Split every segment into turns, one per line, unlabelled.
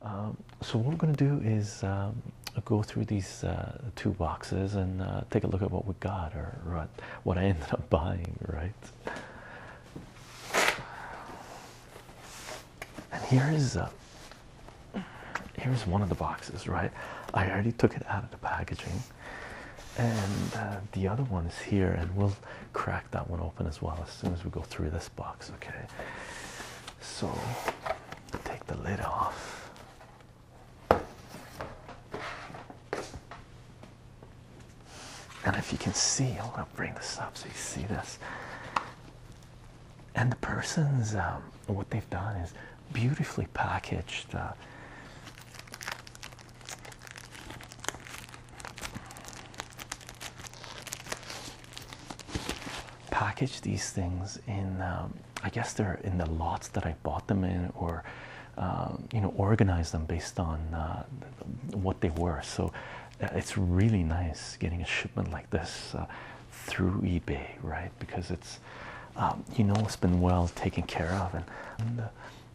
Um, so what we're going to do is um, go through these uh, two boxes and uh, take a look at what we got or, or what I ended up buying, right? And here is uh, here's one of the boxes, right? I already took it out of the packaging and uh, the other one is here, and we'll crack that one open as well as soon as we go through this box. Okay, so take the lid off. And if you can see, I want to bring this up so you see this. And the person's, um, what they've done is beautifully packaged uh, package these things in um, i guess they're in the lots that i bought them in or um, you know organize them based on uh, what they were so uh, it's really nice getting a shipment like this uh, through ebay right because it's um, you know it's been well taken care of and,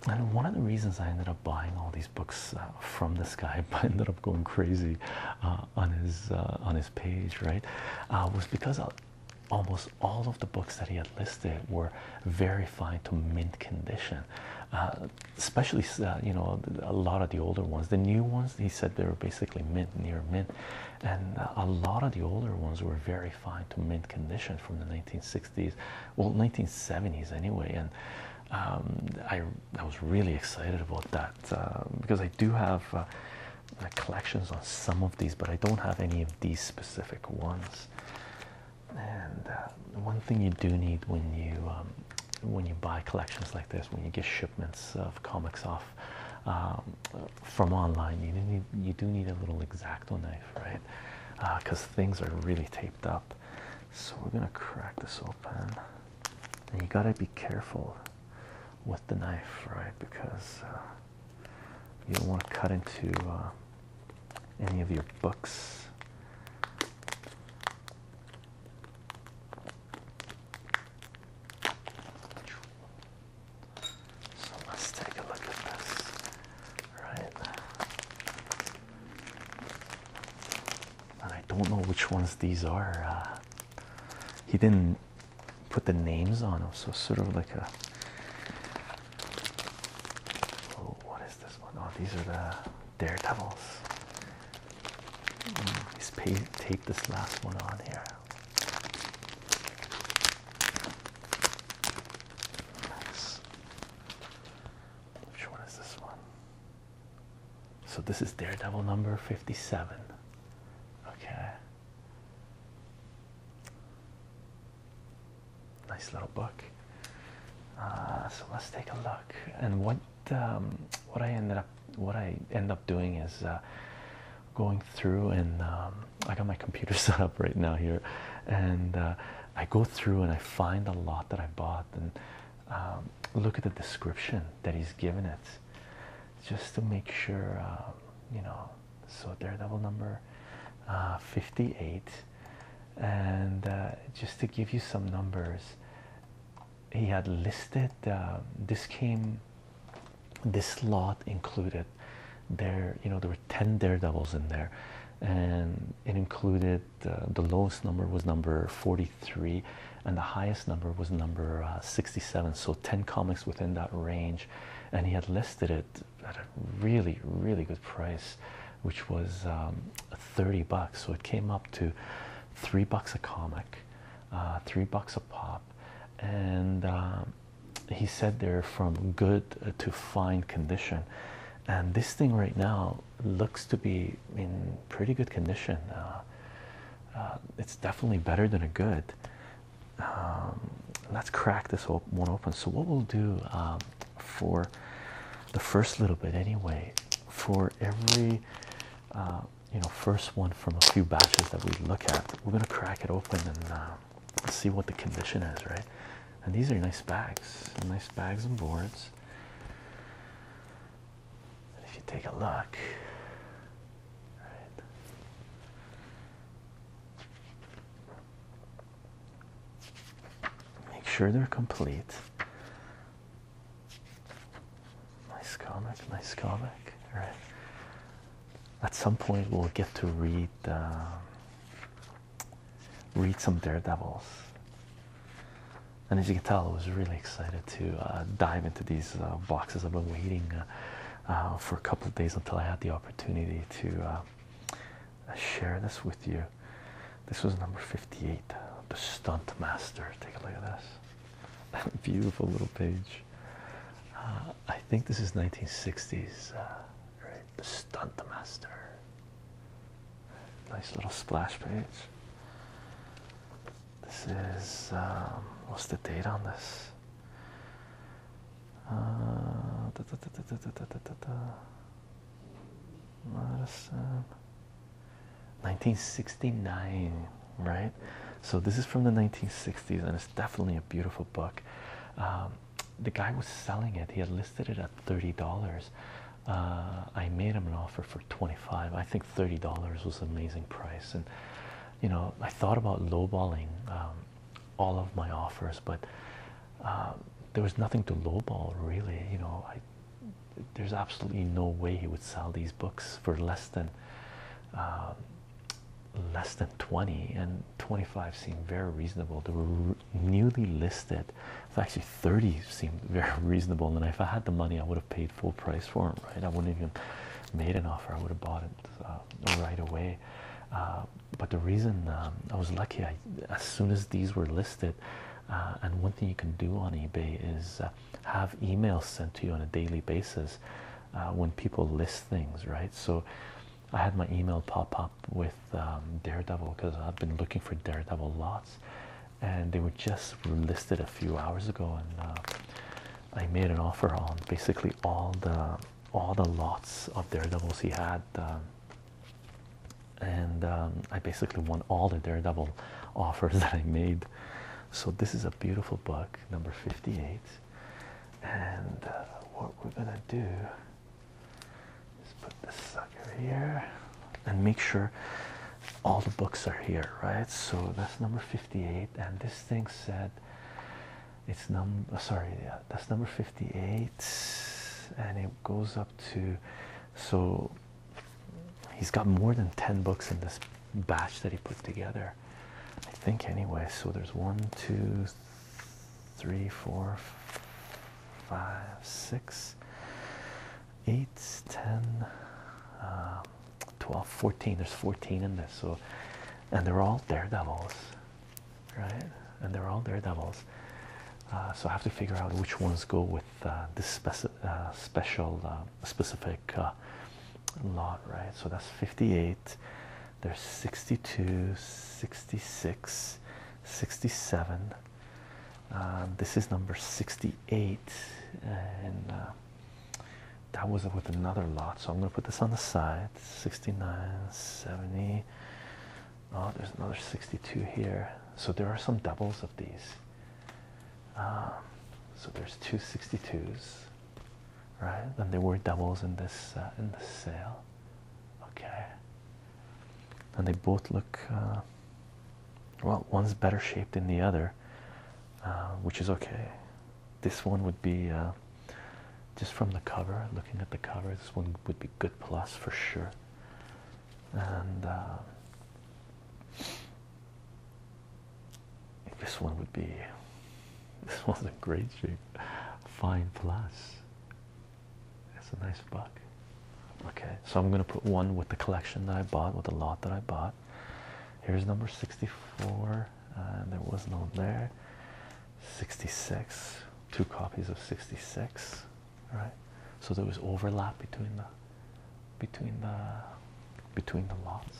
and one of the reasons I ended up buying all these books uh, from this guy, but ended up going crazy uh, on his uh, on his page, right? was because almost all of the books that he had listed were very fine to mint condition, especially you know a lot of the older ones. The new ones, he said they were basically mint, near mint, and a lot of the older ones were very fine to mint condition from the 1960s well, 1970s anyway. And um, I was really excited about that um, because I do have uh, collections on some of these, but I don't have any of these specific ones. And uh, one thing you do need when you um, when you buy collections like this, when you get shipments of comics off from online, you do need you do need a little exacto knife, right? Because uh, things are really taped up. So we're gonna crack this open, and you gotta be careful with the knife, right? Because uh, you don't want to cut into uh, any of your books. So let's take a look at this. Right. And I don't know which ones these are. Uh, he didn't put the names on them, so sort of like a. Oh, what is this one? Oh, these are the Daredevils. Mm, he's paid, this last one on here. Nice. Which one is this one? So this is Daredevil number 57. Okay. Nice little book. Uh, so let's take a look. And what um, what I ended up what I end up doing is uh, going through and um, I got my computer set up right now here, and uh, I go through and I find a lot that I bought and um, look at the description that he's given it just to make sure um, you know so daredevil number uh, 58 and uh, just to give you some numbers he had listed um, this came this lot included there you know there were 10 daredevils in there and it included uh, the lowest number was number 43 and the highest number was number uh, 67 so 10 comics within that range and he had listed it at a really really good price which was um, 30 bucks so it came up to three bucks a comic uh, three bucks a pop and um, he said they're from good to fine condition and this thing right now looks to be in pretty good condition. Uh, uh, it's definitely better than a good. Um, let's crack this one open. So what we'll do um, for the first little bit anyway, for every uh, you know first one from a few batches that we look at, we're gonna crack it open and see what the condition is, right? and these are nice bags, nice bags and boards. if you take a look, Make sure they're complete. Nice comic, nice comic. All right. At some point, we'll get to read uh, read some Daredevils. And as you can tell, I was really excited to uh, dive into these uh, boxes. I've been waiting uh, for a couple of days until I had the opportunity to share this with you. This was number 58, The Stunt Master. Take a look at this. Beautiful little page. I think this is 1960s. Uh, the Stunt Master. Nice little splash page. This is um, what's the date on this? Uh, da, da, 1969, right? So this is from the 1960s, and it's definitely a beautiful book. Um, the guy was selling it; he had listed it at thirty dollars, uh, I made him an offer for 25 I think $30 was an amazing price and you know I thought about lowballing um, all of my offers but uh, there was nothing to lowball really you know there's absolutely no way he would sell these books for less than uh, less than 20 and 25 seemed very reasonable newly listed. actually 30 seemed very reasonable. And if I had the money, I would have paid full price for them, right? I wouldn't even made an offer. I would have bought it uh, right away. Uh, but the reason um, I was lucky, I, as soon as these were listed, uh, and one thing you can do on eBay is have emails sent to you on a daily basis when people list things, right? So I had my email pop up with um, Daredevil because I've been looking for Daredevil lots, and they were just listed a few hours ago, and uh, I made an offer on basically all the all the lots of Daredevils he had, um, and um, I basically won all the Daredevil offers that I made. So this is a beautiful book, number fifty-eight, and uh, what we're gonna do. Just put this sucker here and make sure all the books are here, right? So that's number 58, and this thing said it's number uh, sorry, yeah, that's number 58, and it goes up to so he's got more than 10 books in this batch that he put together, I think, anyway. So there's one, two, three, four, five, six, eight, ten, uh, 12, 14. There's 14 in this, so and they're all daredevils, right? And they're all daredevils. Uh, so I have to figure out which ones go with uh, this uh, special specific lot, right? So that's 58. There's 62, 66, 67, um, this is number 68, and uh, that was with another lot. So I'm going to put this on the side 69, 70. Oh, there's another 62 here. So there are some doubles of these. Um, so there's two 62s, right? And there were doubles in this uh, in the sale. Okay and they both look uh, well one's better shaped than the other uh, which is okay this one would be uh, just from the cover looking at the cover this one would be good plus for sure and this one would be this one's in great shape fine plus that's a nice buck. Okay, so I'm gonna put one with the collection that I bought with the lot that I bought. Here's number 64, and there was no there. 66, two copies of 66, right? So there was overlap between the between the between the lots.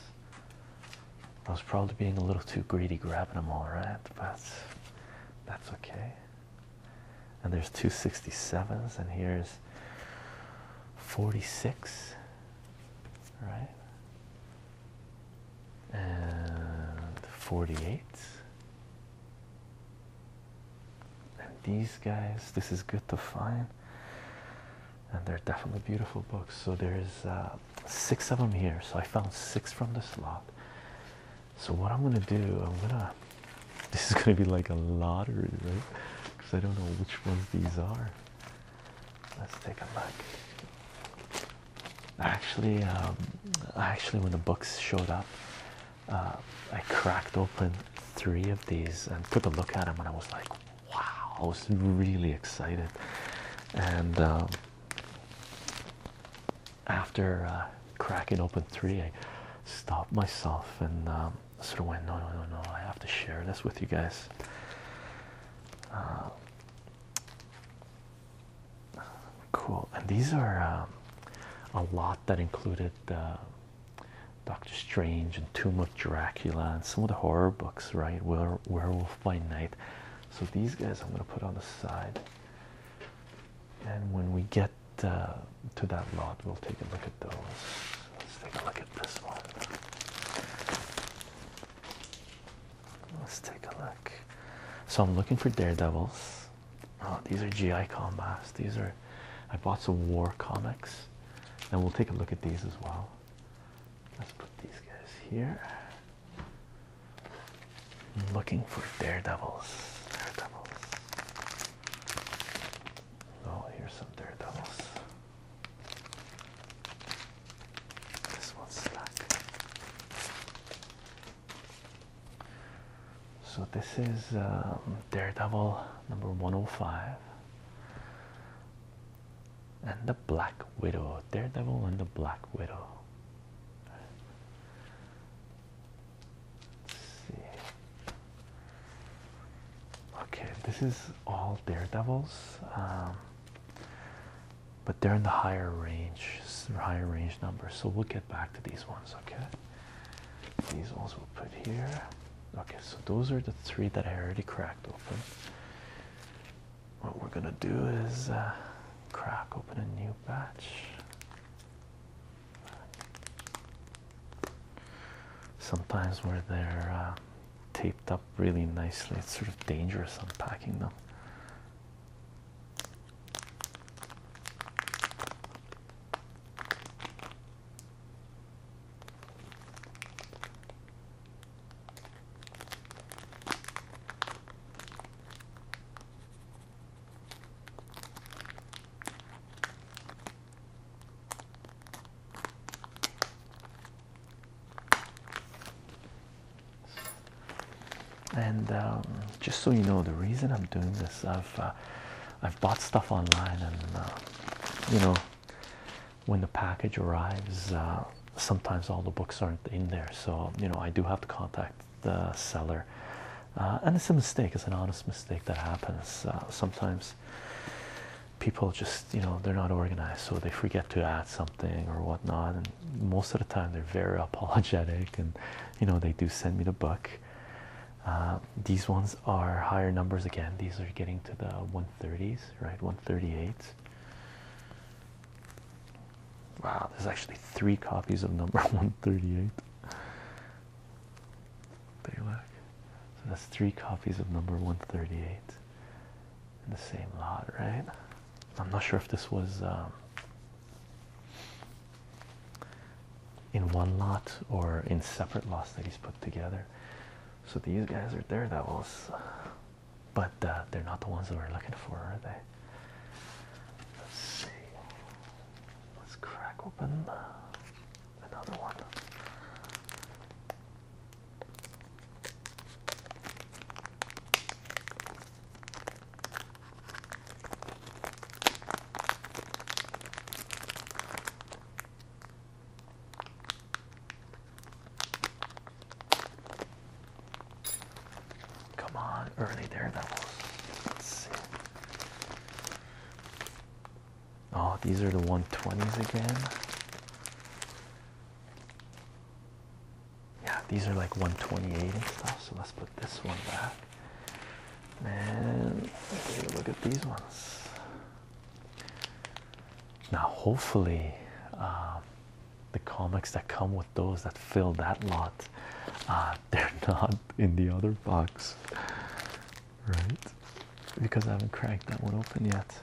I was probably being a little too greedy grabbing them all right, but that's okay and there's 267s and here's 46 right and 48 and these guys this is good to find and they're definitely beautiful books so there's uh, six of them here so I found six from this lot so what I'm gonna do, I'm gonna. This is gonna be like a lottery, right? Because I don't know which ones these are. Let's take a look. Actually, um, actually, when the books showed up, uh, I cracked open three of these and took a look at them, and I was like, "Wow!" I was really excited, and. Um, after uh, cracking open three, I stopped myself and um, sort of went, no, no, no, no, I have to share this with you guys. Um, cool, and these are um, a lot that included uh, Doctor Strange and Tomb of Dracula and some of the horror books, right? Werewolf by Night. So these guys I'm going to put on the side and when we get uh, to that lot, we'll take a look at those. Let's take a look at this one. Let's take a look. So I'm looking for daredevils. Oh, these are GI combats. These are I bought some war comics, and we'll take a look at these as well. Let's put these guys here. I'm looking for daredevils. Daredevils. Oh, here's some daredevils. This one's slack. So this is um, Daredevil number 105 and the Black Widow. Daredevil and the Black Widow. Okay, this is all daredevils, um, but they're in the higher range, higher range numbers. So we'll get back to these ones. Okay, these ones we'll put here. Okay, so those are the three that I already cracked open. What we're gonna do is uh, crack open a new batch. Sometimes where they're uh, taped up really nicely, it's sort of dangerous unpacking them. And um, just so you know, the reason I'm doing this, I've uh, I've bought stuff online, and uh, you know, when the package arrives, uh, sometimes all the books aren't in there. So you know, I do have to contact the seller uh, and it's a mistake it's an honest mistake that happens uh, sometimes people just you know they're not organized so they forget to add something or whatnot and most of the time they're very apologetic and you know they do send me the book uh, these ones are higher numbers again these are getting to the 130s right 138 wow there's actually three copies of number 138 Balak. So that's three copies of number 138 in the same lot, right? I'm not sure if this was um, in one lot or in separate lots that he's put together. So these guys are daredevils, but uh, they're not the ones that we're looking for, are they? Let's see. Let's crack open another one. Come on, early daredevils. Let's see. Oh, these are the 120s again. Yeah, these are like 128 and stuff. So let's put this one back. And take a look at these ones. Now, hopefully, um, the comics that come with those that fill that lot, uh, they're not in the other box right? Because I haven't cracked that one open yet.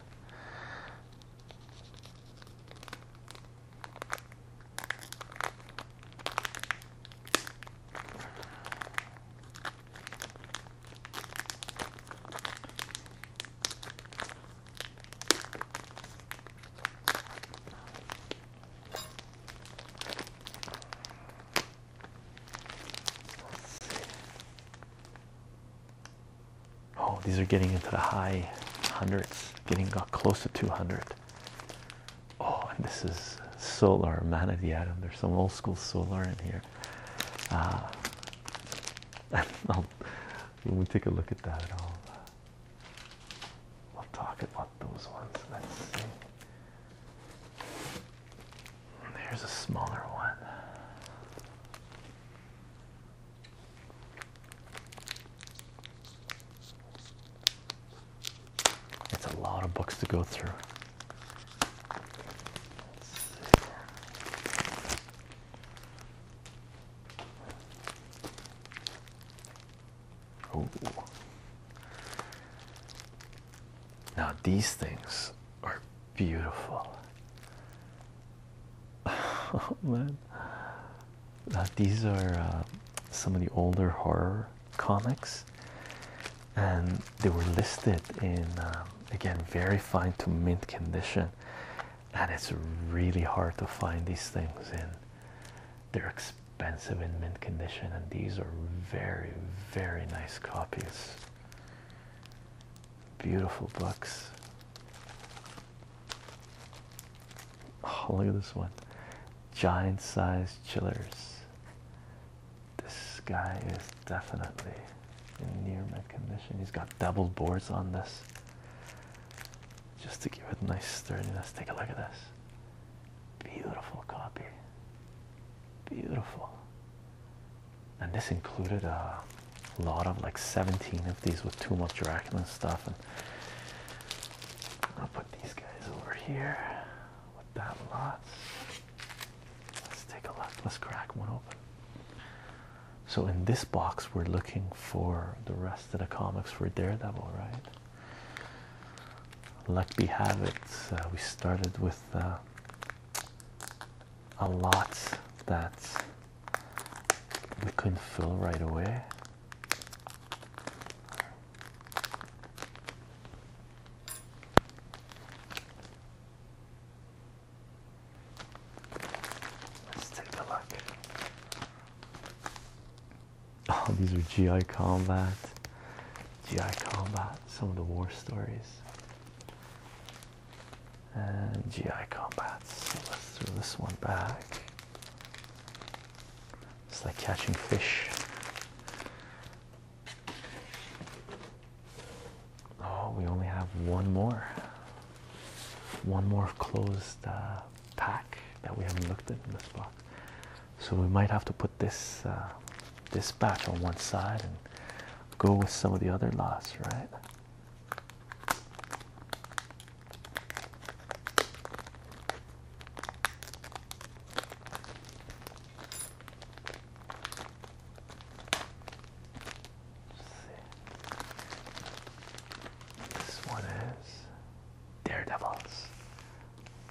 Oh, these are getting into the high hundreds, getting got close to 200. Oh, and this is solar manatee atom. There's some old school solar in here. Ah. when we take a look at that, I'll, uh, will talk about those ones. Let's see. There's a smaller one. It's a lot of books to go through. Oh. Now, these things are beautiful. Oh man, these are uh, some of the older horror comics, and they were listed in um, again very fine to mint condition. And it's really hard to find these things in. They're expensive in mint condition, and these are very, very nice copies. Beautiful books. Oh, look at this one. Giant size chillers. This guy is definitely in near mint condition. He's got double boards on this just to give it nice sturdiness. Take a look at this. Beautiful copy. Beautiful and this included a lot of like 17 of these with too much Dracula and stuff. And I'll put these guys over here with that lot. Let's take a look. Let's crack one open. So in this box, we're looking for the rest of the comics for Daredevil, right? Luck be have it. Uh, we started with uh, a lot that we couldn't fill right away. Let's take a look. Oh, these are GI Combat. GI Combat, some of the war stories and GI combats. So let's throw this one back. It's like catching fish. Oh, we only have one more. One more closed uh, pack that we haven't looked at in this box. So we might have to put this uh, this batch on one side and go with some of the other laws, right? This one is Daredevils,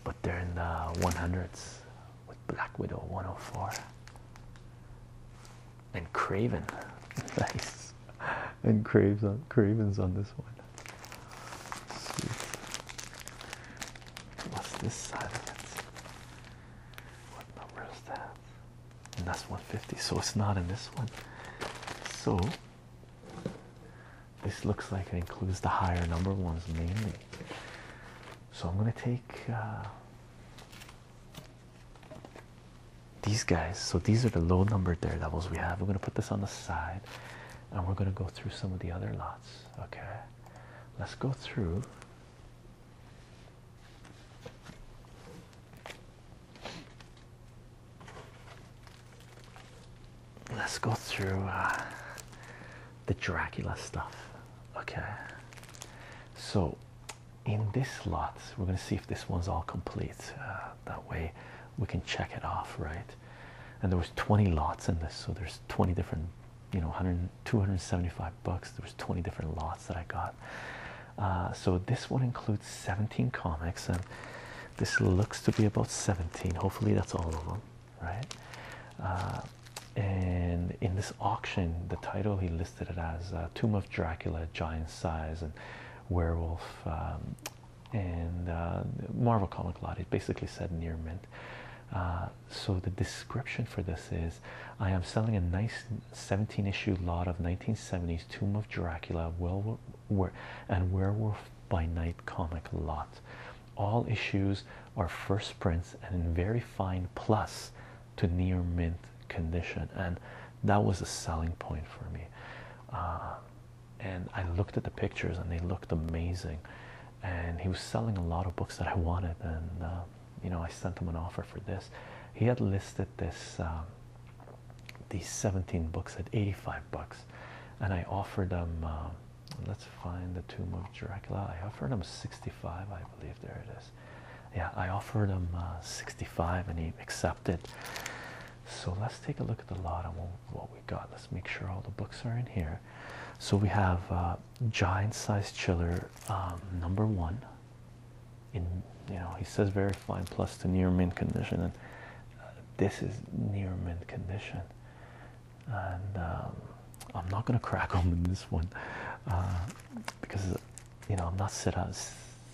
but they're in the 100s with Black Widow 104 and Craven. nice. And Craven's on this one. What's this side of it? What number is that? And that's 150, so it's not in this one. So this looks like it includes the higher number ones mainly. So I'm gonna take uh, these guys. So these are the low numbered daredevils we have. We're going to put this on the side and we're going to go through some of the other lots. Okay, let's go through. Let's go through. Uh, the Dracula stuff. Okay, so in this lot, we're going to see if this one's all complete. Uh, that way, we can check it off, right? And there was 20 lots in this, so there's 20 different, you know, 100, 275 bucks. There was 20 different lots that I got. Uh, so this one includes 17 comics, and this looks to be about 17. Hopefully, that's all of them, right? Uh, and in this auction, the title he listed it as uh, Tomb of Dracula, Giant Size, and Werewolf, um, and uh, Marvel Comic Lot. It basically said near mint. Uh, so the description for this is I am selling a nice 17 issue lot of 1970s Tomb of Dracula, Werewolf, and Werewolf by Night comic lot. All issues are first prints and in very fine plus to near mint condition, and that was a selling point for me. Uh, and I looked at the pictures, and they looked amazing. And he was selling a lot of books that I wanted, and uh, you know, I sent him an offer for this. He had listed this um, these 17 books at 85 bucks, and I offered him. Um, let's find the tomb of Dracula. I offered him 65, I believe. There it is yeah i offered him uh, 65 and he accepted so let's take a look at the lot and what we got let's make sure all the books are in here so we have uh, giant size chiller um, number one in you know he says very fine plus to near mint condition and uh, this is near mint condition um, I'm not gonna crack open this one uh, because you know I'm not sit up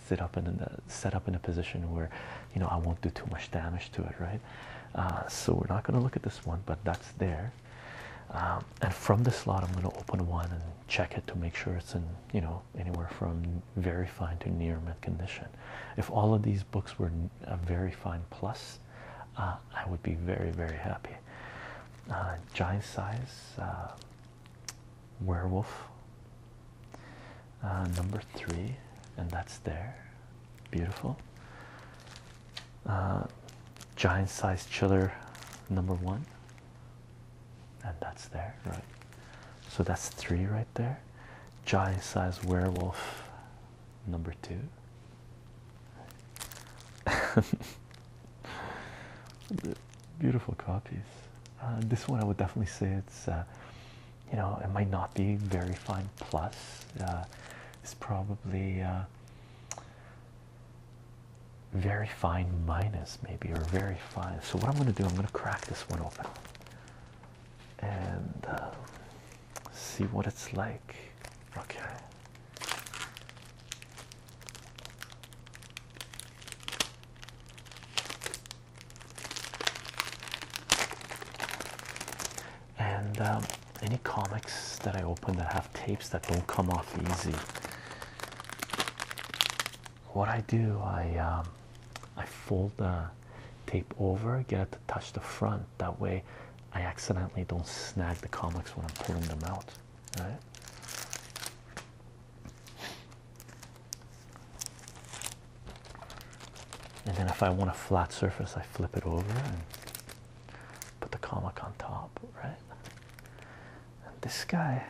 sit up in the set up in a position where you know I won't do too much damage to it, right? Uh, so we're not gonna look at this one, but that's there. Um, and from the slot, I'm gonna open one and check it to make sure it's in you know anywhere from very fine to near mint condition. If all of these books were a very fine plus, uh, I would be very very happy. Uh, giant size uh, werewolf uh, number three and that's there beautiful giant size chiller number one and that's there right so that's three right there giant size werewolf number two Beautiful copies. Uh, this one I would definitely say it's, uh, you know, it might not be very fine plus. Uh, it's probably very fine minus maybe or very fine. So what I'm going to do, I'm going to crack this one open and see what it's like. Okay. And um, any comics that I open that have tapes that don't come off easy, what I do, I um, I fold the tape over, get it to touch the front. That way, I accidentally don't snag the comics when I'm pulling them out right? And then if I want a flat surface, I flip it over and put the comic on top, right? And this guy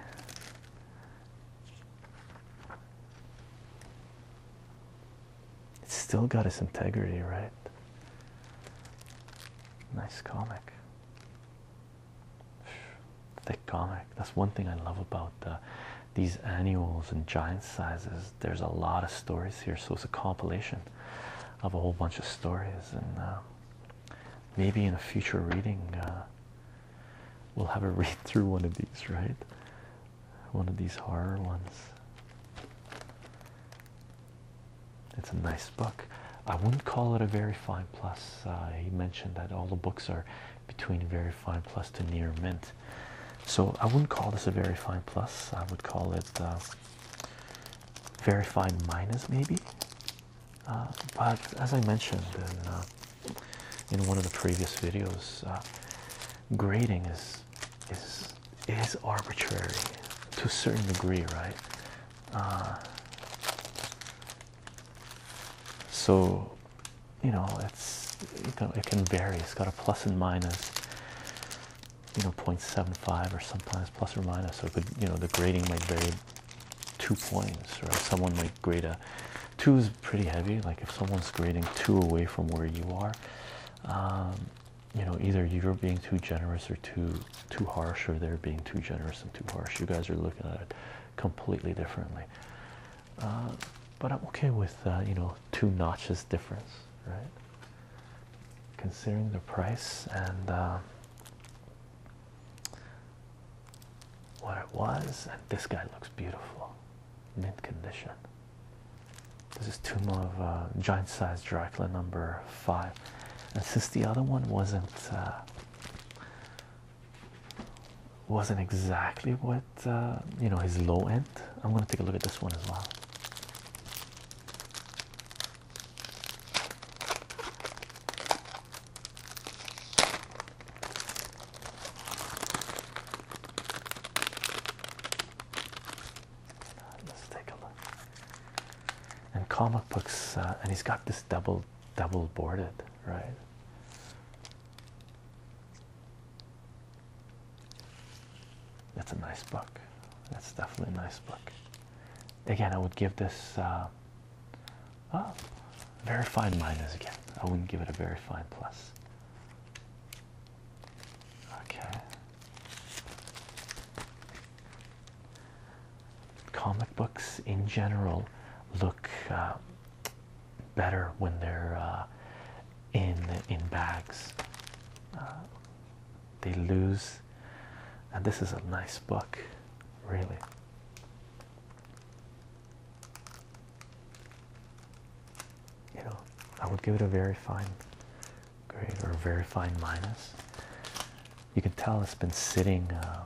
it's still got its integrity, right? Nice comic. Thick comic. That's one thing I love about uh, these annuals and giant sizes. There's a lot of stories here, so it's a compilation of a whole bunch of stories. And uh, maybe in a future reading, uh, we'll have a read through one of these, right? One of these horror ones. It's a nice book. I wouldn't call it a very fine plus. Uh, he mentioned that all the books are between very fine plus to near mint. So I wouldn't call this a very fine plus. I would call it uh, very fine minus maybe. Uh, but as I mentioned uh, in, one of the previous videos, grading is is is arbitrary to a certain degree, right? Uh, so you know it's you know, it can vary. It's got a plus and minus. You know, 0.75 or sometimes plus or minus. So could you know the grading might vary two points, or Someone might grade a two is pretty heavy. Like if someone's grading two away from where you are, um, you know either you're being too generous or too too harsh or they're being too generous and too harsh. You guys are looking at it completely differently. Uh, but I'm okay with uh, you know two notches difference, right? Considering the price and uh, what it was, and this guy looks beautiful, mint condition. This is Tomb of uh, Giant Size Dracula number five, and since the other one wasn't wasn't exactly what uh, you know his low end. I'm gonna take a look at this one as well. Let's take a look. And comic books, uh, and he's got this double double boarded, right? That's a nice book. That's definitely a nice book. Again, I would give this uh, oh, very fine minus again. I wouldn't give it a very fine plus. Okay comic books in general look uh, better when they're uh, in in bags uh, they lose and this is a nice book really you know I would give it a very fine grade or a very fine minus you can tell it's been sitting uh,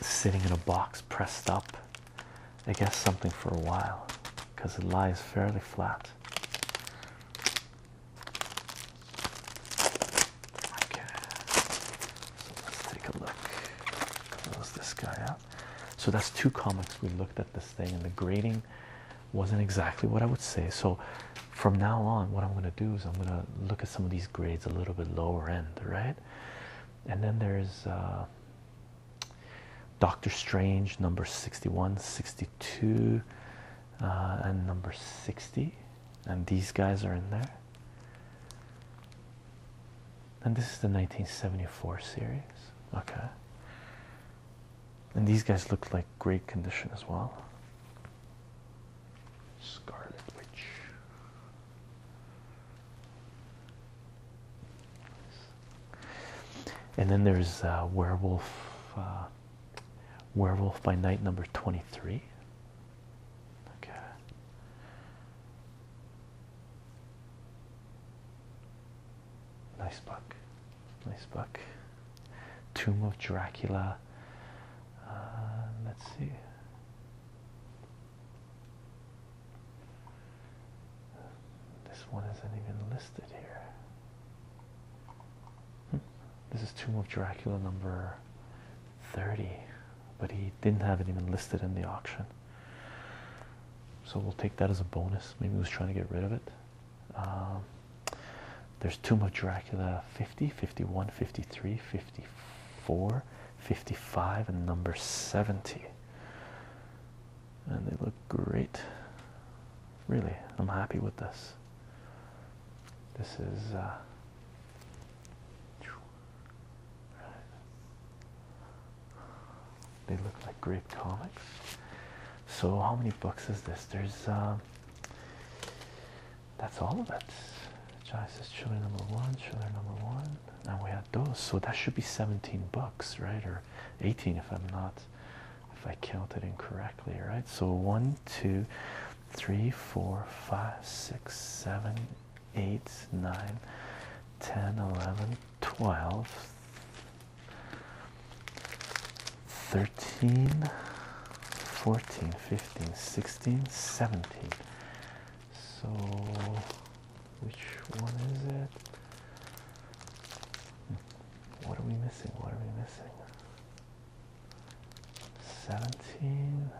sitting in a box pressed up I guess something for a while because it lies fairly flat okay so let's take a look close this guy out so that's two comics we looked at this thing and the grading wasn't exactly what I would say. So, from now on, what I'm going to do is I'm going to look at some of these grades a little bit lower end, right? And then there's uh, Doctor Strange, number 61, 62, uh, and number 60. And these guys are in there. And this is the 1974 series. Okay. And these guys look like great condition as well. Scarlet Witch. And then there's uh, Werewolf, uh, Werewolf by Night number twenty-three. Okay. Nice book. Nice book. Tomb of Dracula. Uh, let's see. This one isn't even listed here. Hmm. This is Tomb of Dracula number 30, but he didn't have it even listed in the auction. So we'll take that as a bonus. Maybe he was trying to get rid of it. Um, there's Tomb of Dracula 50, 51, 53, 54, 55, and number 70. And they look great. Really, I'm happy with this. This is. Uh, they look like great comics. So, how many books is this? There's um, that's all of it. John says chiller number one, chiller number one, and we had those. So that should be 17 books, right? Or 18 if I'm not, if I counted incorrectly, right? So one, two, three, four, five, six, seven, eight, nine, 10, 11, 12, 13 14 15 16 17 so which one is it what are we missing what are we missing 17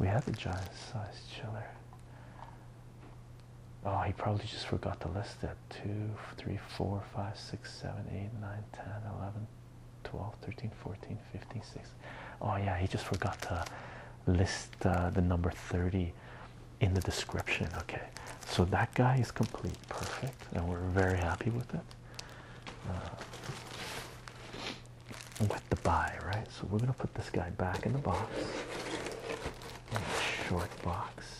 we have the giant size chiller oh he probably just forgot to list it at 2, 3, 4, 5, 6, 7, 8, 9, 10, 11, 12, 13, 14, 15, 16. Oh, yeah, he just forgot to list uh, the number 30 in the description. Okay, so that guy is complete, perfect, and we're very happy with it. Uh, with the buy, right? So we're gonna put this guy back in the box, in the short box.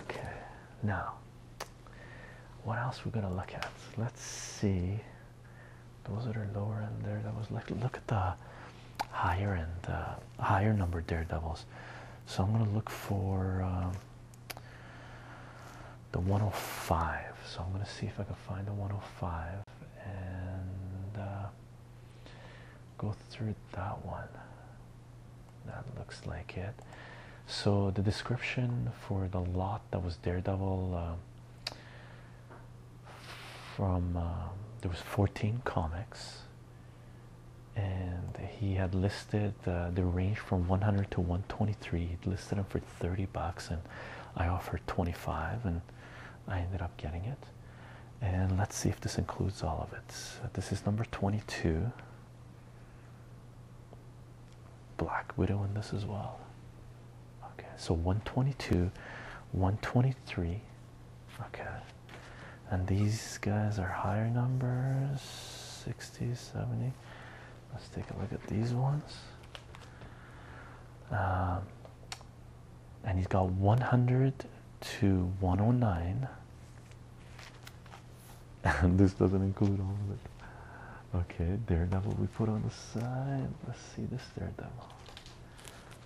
Okay, now what else we're gonna look at? Let's see. Those that are lower end there, that was like look at the higher end, uh, higher number daredevils. So I'm gonna look for um, the 105. So I'm gonna see if I can find the 105 and uh, go through that one. That looks like it. So the description for the lot that was Daredevil uh, from uh, there was 14 comics, and he had listed uh, the range from 100 to 123. He listed them for 30 bucks, and I offered 25, and I ended up getting it. And let's see if this includes all of it. This is number 22. Black Widow in this as well. Okay, so 122, 123. Okay, and these guys are higher numbers 60, 70. Let's take a look at these ones. Um, and he's got 100 to 109. this doesn't include all of it. Okay, Daredevil we put on the side. Let's see this Daredevil.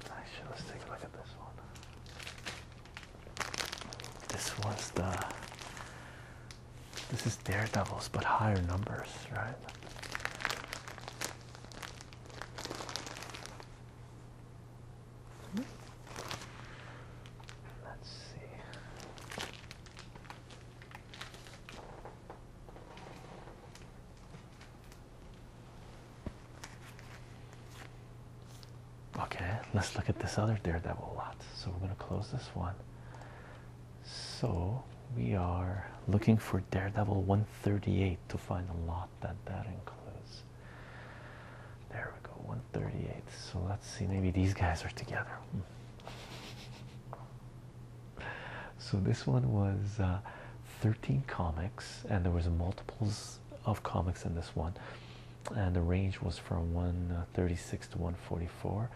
Actually, let's take a look at this one. This one's the. This is Daredevils, but higher numbers, right? Let's see. Okay, let's look at this other daredevil lot. So we're going to close this one. So we are looking for daredevil 138 to find a lot that that includes. There we go, 138. So let's see, maybe these guys are together. So this one was uh, 13 comics, and there was multiples of comics in this one, and the range was from 136 uh, to 144.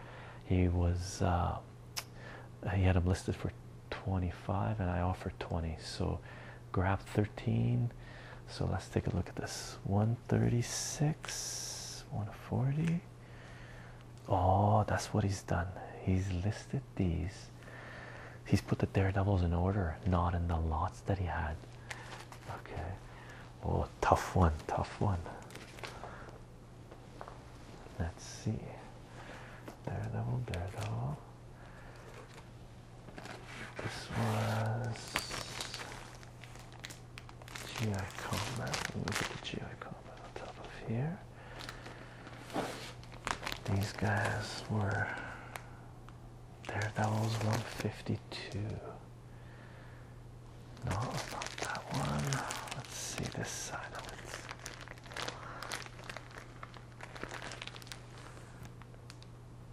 He was uh, he had them listed for 25, and I offered 20. So grab 13 so let's take a look at this 136, 140. Oh, that's what he's done. He's listed these. He's put the daredevils in order, not in the lots that he had. Okay. Oh, tough one, tough one. Let's see. Daredevil, daredevil. This was GI combat. We'll look at the GI combat on top of here. These guys were Daredevils 152. No, not that one. Let's see this side of it.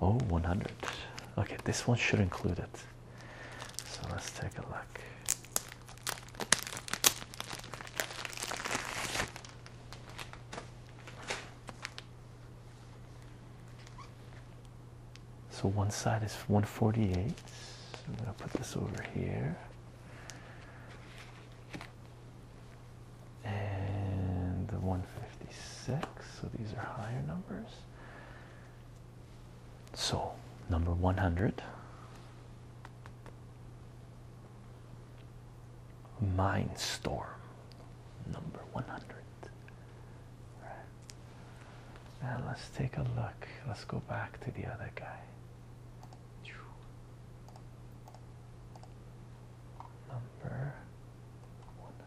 Oh, 100. Okay, this one should include it. So let's take a look. So one side is 148. I'm going to put this over here. And the 156. So these are higher numbers. So, number 100 Mind storm, number 100. Now, let's take a look. Let's go back to the other guy. Number 100.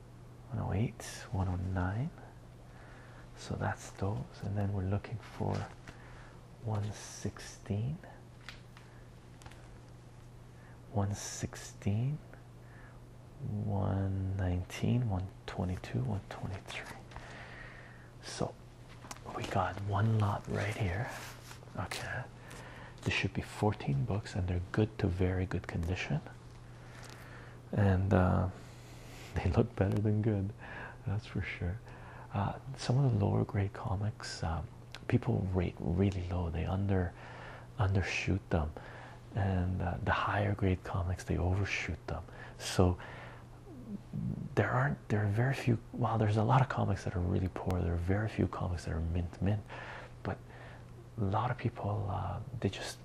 108, 109. So that's those. And then we're looking for 116, 116, 119, 122, 123. So we got one lot right here. Okay. There should be 14 books and they're good to very good condition and uh, they look better than good, that's for sure. Uh, some of the lower grade comics, uh, people rate really low; they undershoot them, and the higher grade comics they overshoot them. So there aren't there are very few. Well, there's a lot of comics that are really poor. There are very few comics that are mint mint, but a lot of people uh, they just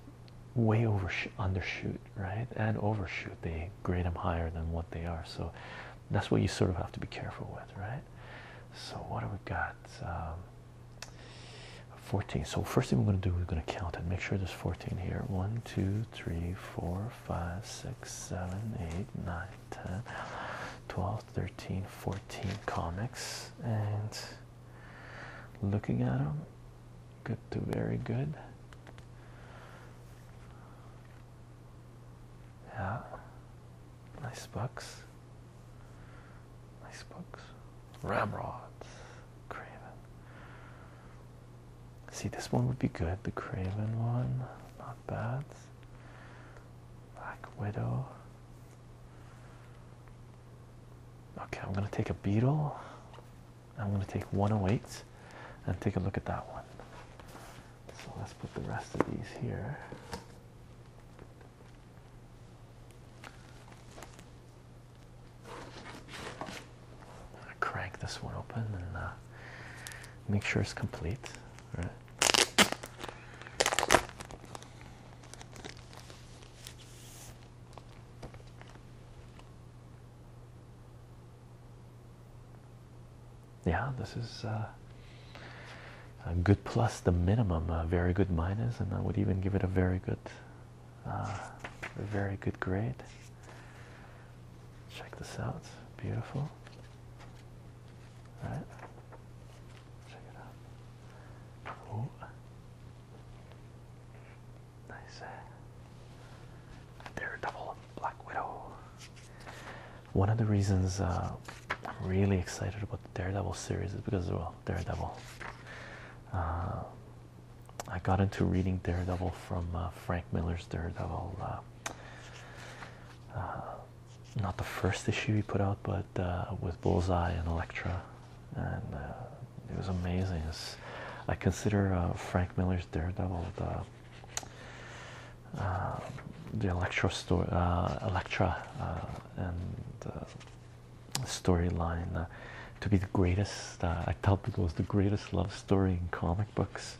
way over undershoot right and overshoot they grade them higher than what they are so that's what you sort of have to be careful with right so what do we got um, 14 so first thing we're going to do we're going to count and make sure there's 14 here 1 2 3 4 5 6 7 8 9 10 12 13 14 comics and Looking at them, good to very good. Yeah, nice bucks. Nice bucks. Ramrods, Craven. See, this one would be good. The Craven one, not bad. Black Widow, Okay, I'm going to take a beetle. I'm going to take 108 and take a look at that one. So let's put the rest of these here. crank this one open and uh, make sure it's complete. All right. Yeah, this is uh, a good plus the minimum, a uh, very good minus, and I would even give it a very good, uh, very good grade. Check this out, beautiful. All right, check it out. Nice. Uh, Daredevil, Black Widow. One of the reasons uh, I'm really excited about the Daredevil series is because, well, Daredevil. Uh, I got into reading Daredevil from Frank Miller's Daredevil. not the first issue he put out, but uh, with Bullseye and Elektra, and uh, it was amazing. I consider uh, Frank Miller's Daredevil the Elektra story, and storyline to be the greatest. I tell people it was the greatest love story in comic books.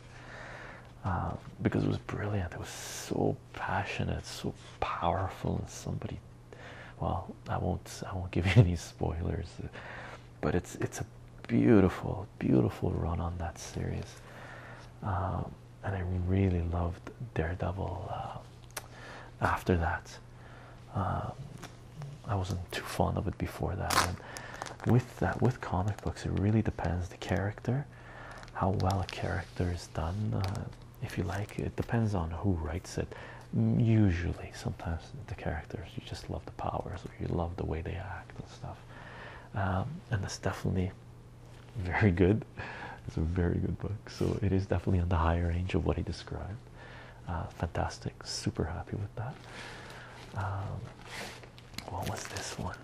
because it was brilliant, it was so passionate, so powerful, and somebody well i won't i won't give you any spoilers but it's it's a beautiful beautiful run on that series um, and i really loved daredevil uh, after that um, i wasn't too fond of it before that with that with comic books it really depends the character how well a character is done uh, if you like. It depends on who writes it. Usually, sometimes the characters you just love the powers or you love the way they act and stuff. Um, and it's definitely very good. It's a very good book, so it is definitely on the higher range of what he described. Uh, fantastic, super happy with that. Um, what was this one?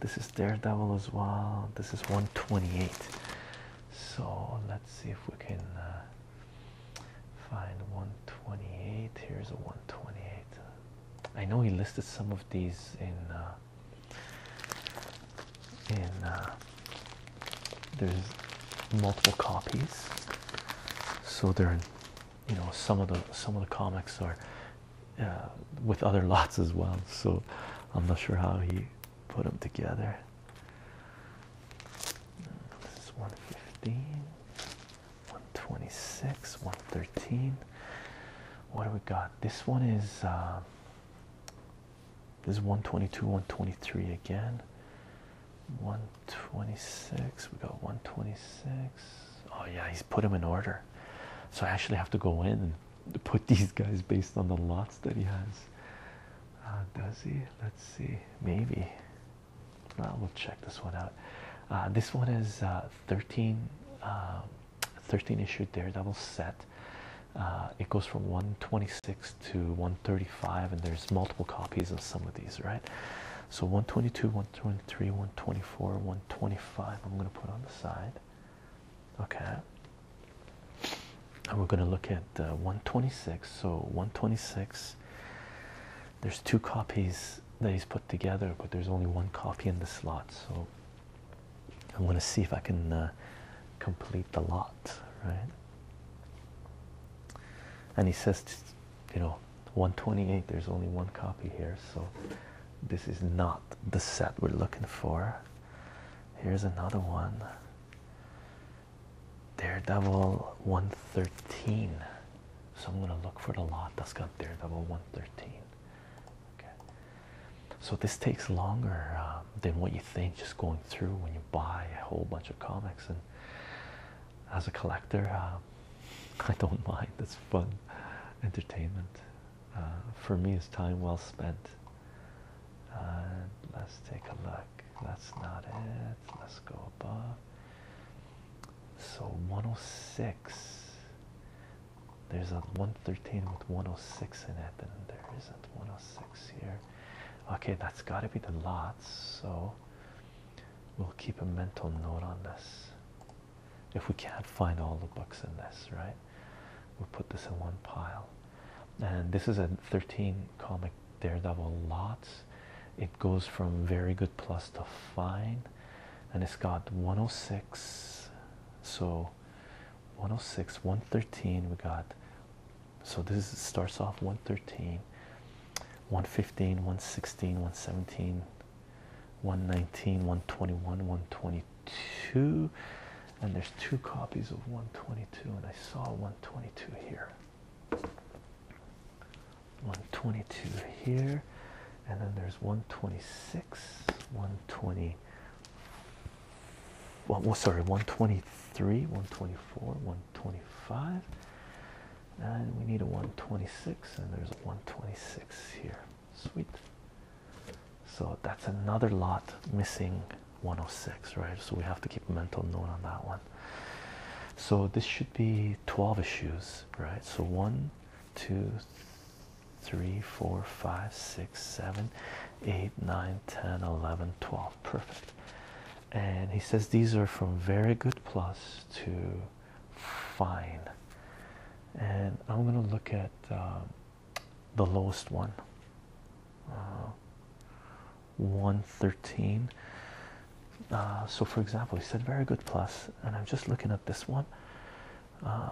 This is Daredevil as well. This is 128. So let's see if we can uh, find 128. Here's a 128. I know he listed some of these in uh, in uh, there's multiple copies, so there. are you know some of the some of the comics are with other lots as well. So I'm not sure how he put them together. This is 115, 126, 113. What do we got? This one is um, this is 122, 123 again. 126. We got 126. Oh yeah, he's put them in order. So I actually have to go in and put these guys based on the lots that he has. Uh, does he? Let's see. Maybe. Uh, we'll check this one out. Uh, this one is uh, 13, um, 13 issue Daredevil set. Uh, it goes from 126 to 135, and there's multiple copies of some of these, right? So 122, 123, 124, 125. I'm going to put on the side. Okay and we're going to look at uh, 126 so 126 there's two copies that he's put together but there's only one copy in the slot so i am going to see if i can uh, complete the lot right and he says you know 128 there's only one copy here so this is not the set we're looking for here's another one Daredevil 113. So I'm gonna look for the lot that's got Daredevil 113. Okay. So this takes longer um, than what you think. Just going through when you buy a whole bunch of comics, and as a collector, um, I don't mind. It's fun, entertainment. Uh, for me, it's time well spent. Uh, let's take a look. That's not it. Let's go above. So 106. There's a 113 with 106 in it, and there isn't 106 here. Okay, that's got to be the lots. So we'll keep a mental note on this. If we can't find all the books in this, right? We'll put this in one pile and this is a 13 comic daredevil lots it goes from very good plus to fine and it's got 106 so 106 113 we got so this is, starts off 113 115 116 117 119 121 122 and there's two copies of 122 and I saw 122 here 122 here and then there's 126 120 well sorry 123 124 125 and we need a 126 and there's a 126 here sweet so that's another lot missing 106 right so we have to keep mental note on that one so this should be 12 issues right so one two three four five six seven eight nine ten eleven twelve perfect and he says these are from very good plus to fine and i'm going to look at um, the lowest one uh, 113 uh, so for example he said very good plus and i'm just looking at this one uh,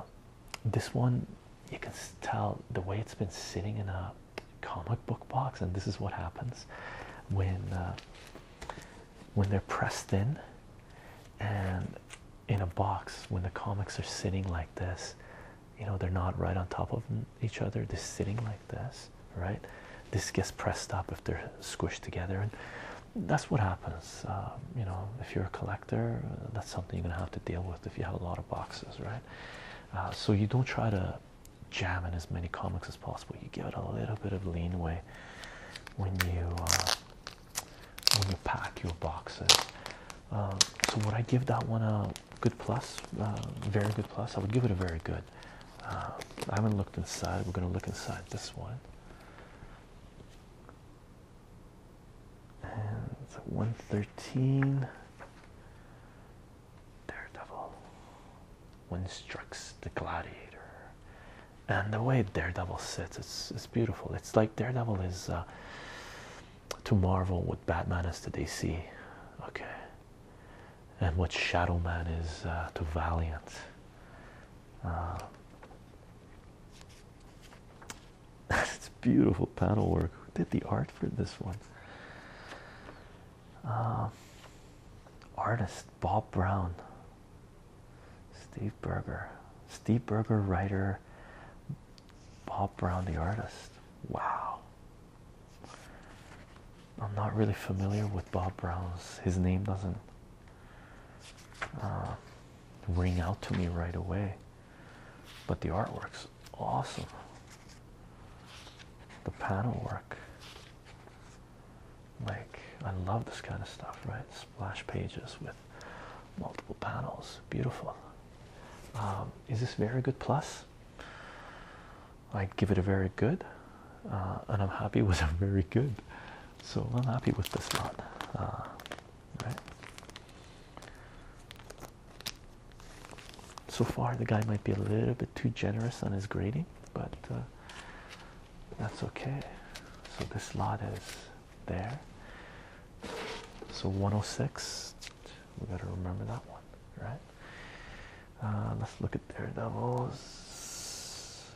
this one you can tell the way it's been sitting in a comic book box and this is what happens when uh, when they're pressed in and in a box when the comics are sitting like this you know they're not right on top of each other they're sitting like this right this gets pressed up if they're squished together and that's what happens um, you know if you're a collector uh, that's something you're gonna have to deal with if you have a lot of boxes right uh, so you don't try to jam in as many comics as possible you give it a little bit of leeway when you uh, when you pack your boxes um, so would I give that one a good plus, uh, very good plus. I would give it a very good. Uh, I haven't looked inside. We're going to look inside this one. And 113. Daredevil. When strikes the gladiator. And the way Daredevil sits, it's, it's beautiful. It's like Daredevil is uh, to Marvel what Batman is to DC. Okay and what Shadow Man is uh, to Valiant. Uh, it's beautiful panel work. Who did the art for this one? Uh, artist Bob Brown, Steve Berger, Steve Berger, writer, Bob Brown, the artist. Wow. I'm not really familiar with Bob Brown's. His name doesn't uh, ring out to me right away, but the artwork's awesome. The panel work, like I love this kind of stuff, right? Splash pages with multiple panels, beautiful. Um, is this very good? Plus, i give it a very good, uh, and I'm happy with a very good. So I'm happy with this lot. Uh, so far, the guy might be a little bit too generous on his grading, but uh, that's okay. So this lot is there. So 106, we got to remember that one, right? Uh, let's look at Daredevils.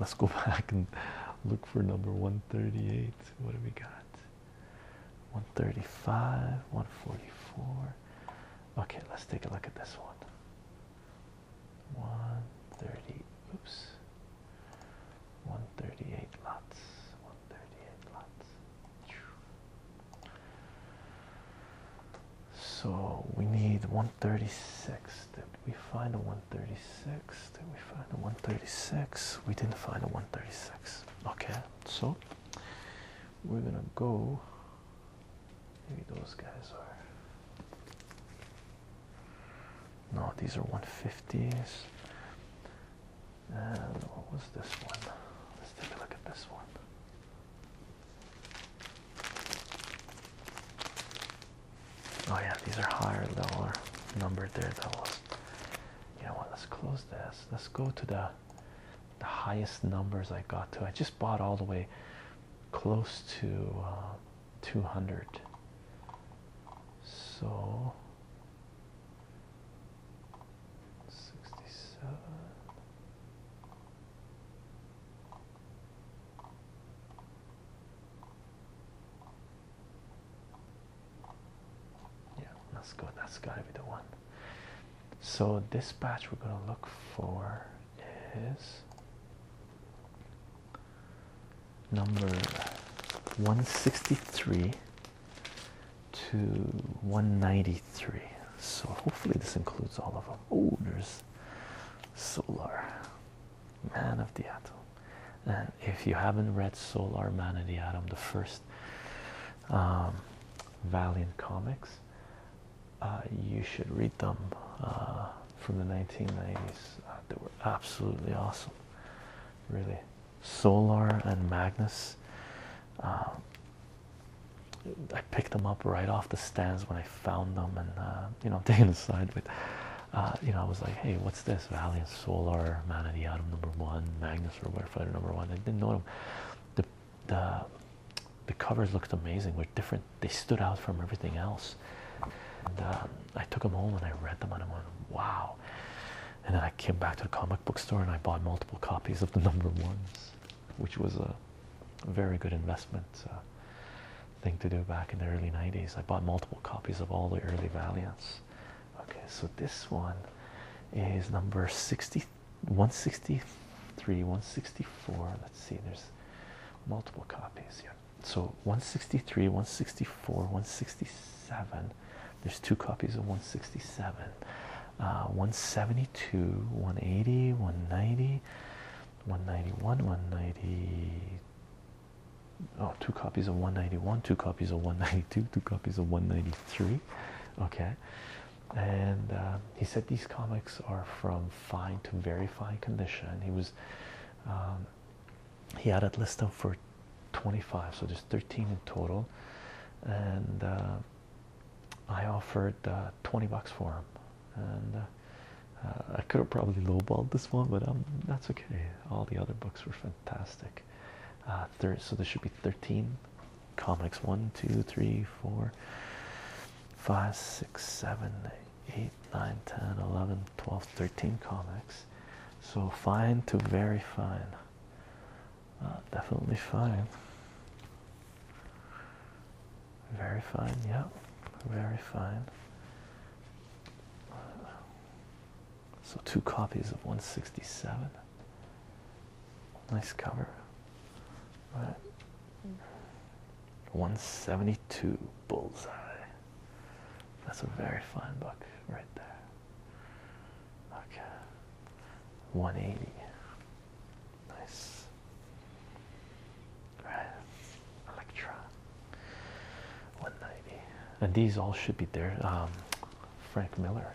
Let's go back and look for number 138. What do we got? 135, 144. Okay, let's take a look at this one. 130, oops. 138 lots. 138 lots. So we need 136. Did we find a 136? Did we find a 136? We didn't find a 136. Okay, so we're gonna go. Maybe those guys are. No, these are 150s. And what was this one? Let's take a look at this one. Oh yeah, these are higher level numbered daredevils. You know what? Let's close this. Let's go to the the highest numbers I got to. I just bought all the way close to uh, 200. So 67. Yeah, that's good. That's got to be the one. So, this batch we're going to look for is number 163 to 193. So hopefully this includes all of them. Oh, there's Solar, Man of the Atom. And if you haven't read Solar, Man of the Atom, the first um, Valiant comics, uh, you should read them uh, from the 1990s. Uh, they were absolutely awesome. Really, Solar and Magnus. Um, I picked them up right off the stands when I found them, and uh, you know, taking side with, uh, you know, I was like, hey, what's this? Valiant Solar, Man of the Atom number one, Magnus Robert Fighter number one. I didn't know them. The the covers looked amazing. Were different. They stood out from everything else. And, uh, I took them home and I read them, and I went, wow. And then I came back to the comic book store and I bought multiple copies of the number ones which was a very good investment uh, thing to do back in the early 90s. I bought multiple copies of all the early Valiants. Okay, so this one is number 60, 163, 164. Let's see, there's multiple copies here. So 163, 164, 167. There's two copies of 167. Uh, 172, 180, 190, 191, 190. Oh, two copies of 191, two copies of 192, two copies of 193. Okay, and uh, he said these comics are from fine to very fine condition. He was, um, he had it listed for 25, so there's 13 in total, and uh, I offered uh, 20 bucks for him, and uh, uh, I could have probably lowballed this one, but um, that's okay. All the other books were fantastic. so there should be 13 comics 1, 2, 3, 4, 5, 6, 7, 8, 9, 10, 11, 12, 13 comics. So fine to very fine. Uh, definitely fine. Very fine, yeah. Very fine. So two copies of 167. Nice cover. All right. 172 bullseye. That's a very fine book right there. Okay. 180. Nice. Right. Electra. 190. And these all should be there. Um, Frank Miller.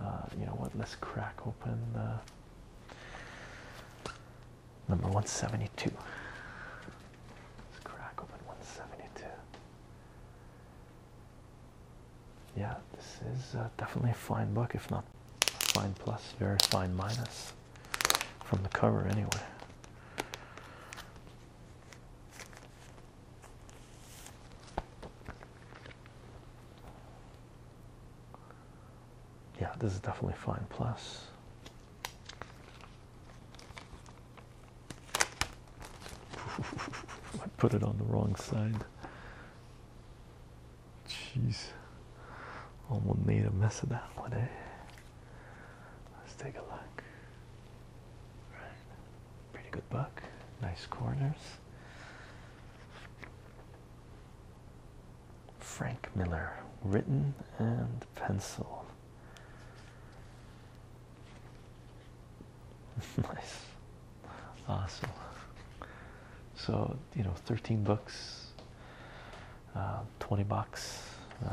Uh, you know what? Let's crack open number 172. Let's crack open 172. Yeah, this is uh, definitely a fine book, if not fine plus very fine minus from the cover anyway yeah this is definitely fine plus I put it on the wrong side Jeez, almost made a mess of that one, eh? Let's take a look. Right, pretty good book. Nice corners. Frank Miller, written and pencil. nice, awesome. So you know, thirteen bucks, uh, twenty bucks. Uh,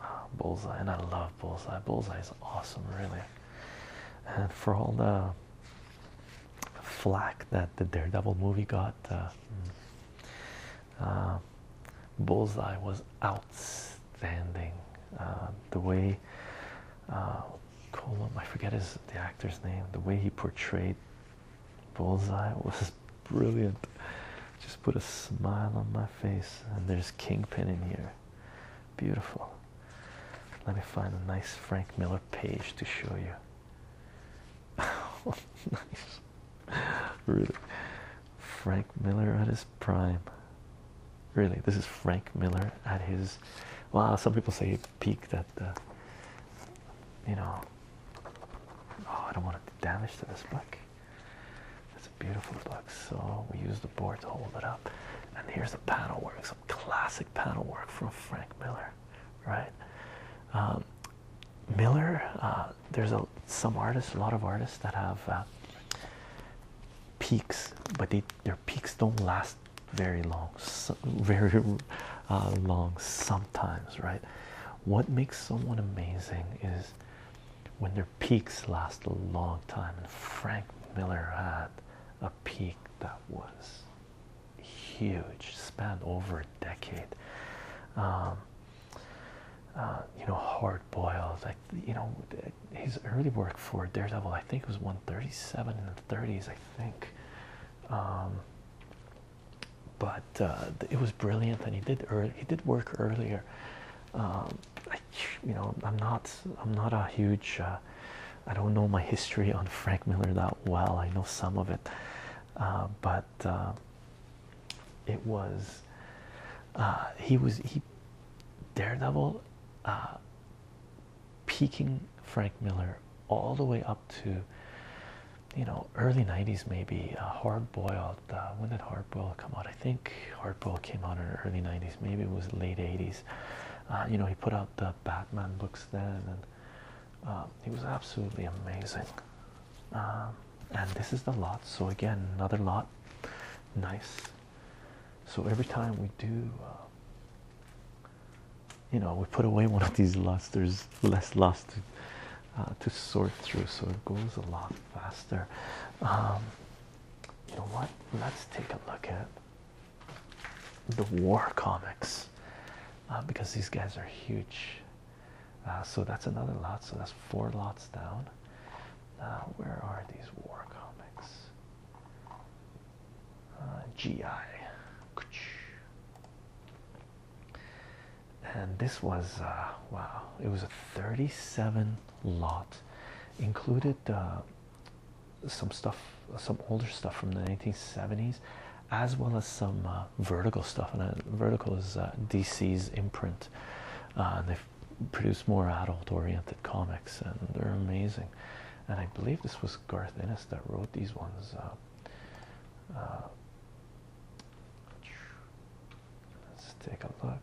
uh, bullseye, and I love Bullseye. Bullseye is awesome, really. And for all the flack that the Daredevil movie got, mm, Bullseye was outstanding. the way uh, I forget his the actor's name. The way he portrayed Bullseye was brilliant. Just put a smile on my face, and there's Kingpin in here. Beautiful. Let me find a nice Frank Miller page to show you. nice, really. Frank Miller at his prime. Really, this is Frank Miller at his. Wow, some people say peeked that, the, you know, oh, I don't want to damage to this book. It's a beautiful book. So we use the board to hold it up. And here's the panel work, some classic panel work from Frank Miller, right? Um, Miller, uh, there's a some artists, a lot of artists that have uh, peaks, but their peaks don't last very long, very uh, long sometimes, right? What makes someone amazing is when their peaks last a long time, and Frank Miller had a peak that was huge, spanned over a decade. Um, uh, you know, hard boiled, like you know, his early work for Daredevil, I think it was 137 in the 30s, I think. Um, but uh, it was brilliant, and he did he did work earlier. Um, I, you know, I'm not I'm not a huge. Uh, I don't know my history on Frank Miller that well. I know some of it, uh, but it was he was he Daredevil peaking Frank Miller all the way up to you know early 90s maybe uh, hard boiled uh, when did hard boil come out I think hard boil came out in the early 90s maybe it was late 80s uh, you know he put out the Batman books then and um, he was absolutely amazing um, and this is the lot so again another lot nice so every time we do uh, you know, we put away one of these lots, there's less lots uh, to, sort through, so it goes a lot faster. Um, you know what? Let's take a look at the war comics uh, because these guys are huge. Uh, so that's another lot, so that's four lots down. Now, where are these war comics? Uh, GI. And this was uh, wow, it was a 37 lot, included uh, some stuff, some older stuff from the 1970s, as well as some vertical stuff. And vertical is DC's imprint, and they produce more adult oriented comics, and they're amazing. And I believe this was Garth Ennis that wrote these ones. Uh, let's take a look.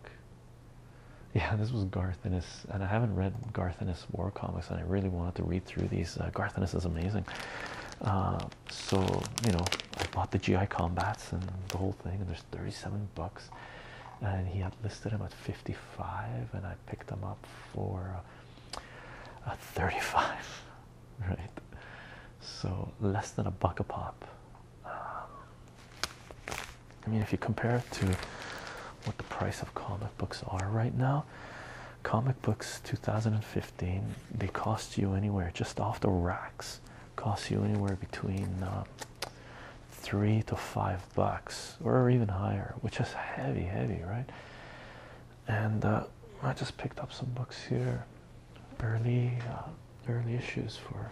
Yeah, this was Garth Ennis, and I haven't read Garth Ennis war comics, and I really wanted to read through these. Uh, Garth Ennis is amazing. Uh, so you know, I bought the GI combats and the whole thing, and there's 37 bucks, and he had listed them at 55, and I picked them up for a 35 right so less than a buck a pop um, i mean if you compare it to what the price of comic books are right now comic books 2015 they cost you anywhere just off the racks cost you anywhere between uh, three to five bucks or even higher which is heavy heavy right and uh, I just picked up some books here, early uh, early issues for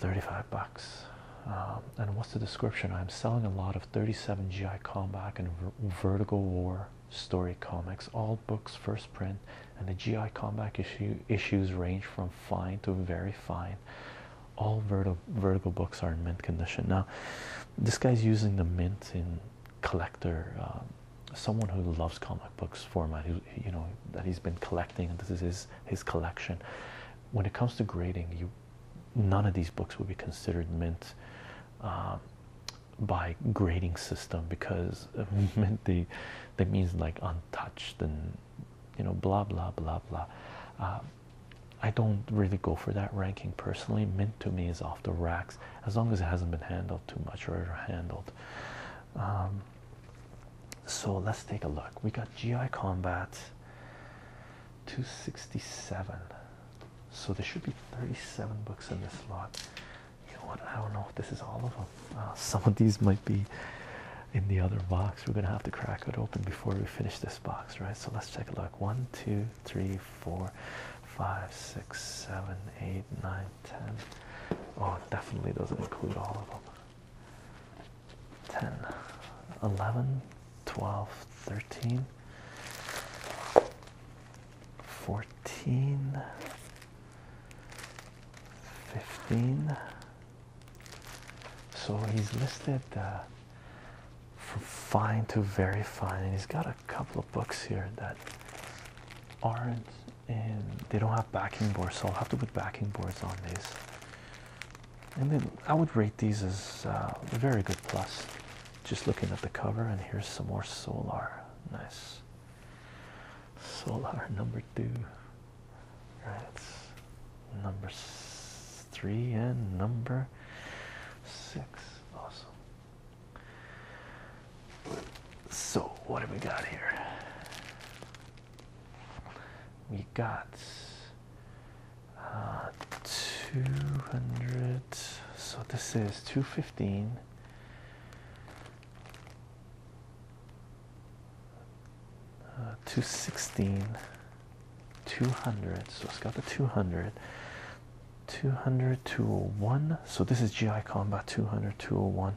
35 bucks. Um, and what's the description? I'm selling a lot of 37 GI Combat and Ver Vertigo War story comics, all books first print, and the GI Combat issue issues range from fine to very fine. All Vertigo, Vertigo books are in mint condition. Now, this guy's using the mint in collector, um, someone who loves comic books format, who, you know, that he's been collecting, and this is his, his collection. When it comes to grading, none of these books would be considered mint um, by grading system because mint they, they means like untouched and you know blah blah blah blah. Uh, I don't really go for that ranking personally. Mint to me is off the racks as long as it hasn't been handled too much or handled. Um, so let's take a look. We got GI Combat 267. So there should be 37 books in this lot. You know what? I don't know if this is all of them. Uh, some of these might be in the other box. We're gonna have to crack it open before we finish this box, right? So let's take a look. One, two, three, four, five, six, seven, eight, nine, ten. Oh, it definitely doesn't include all of them. 10, 11, 12, 13, 14, 15. So he's listed uh, from fine to very fine and he's got a couple of books here that aren't and they don't have backing boards so i'll have to put backing boards on these and then i would rate these as uh, very good plus just looking at the cover and here's some more solar nice solar number two right number three and number six. Awesome. So, what do we got here? We got uh, 200. So, this is 215. Uh, 216 200 so it's got the 200 200 201 so this is gi combat 200 201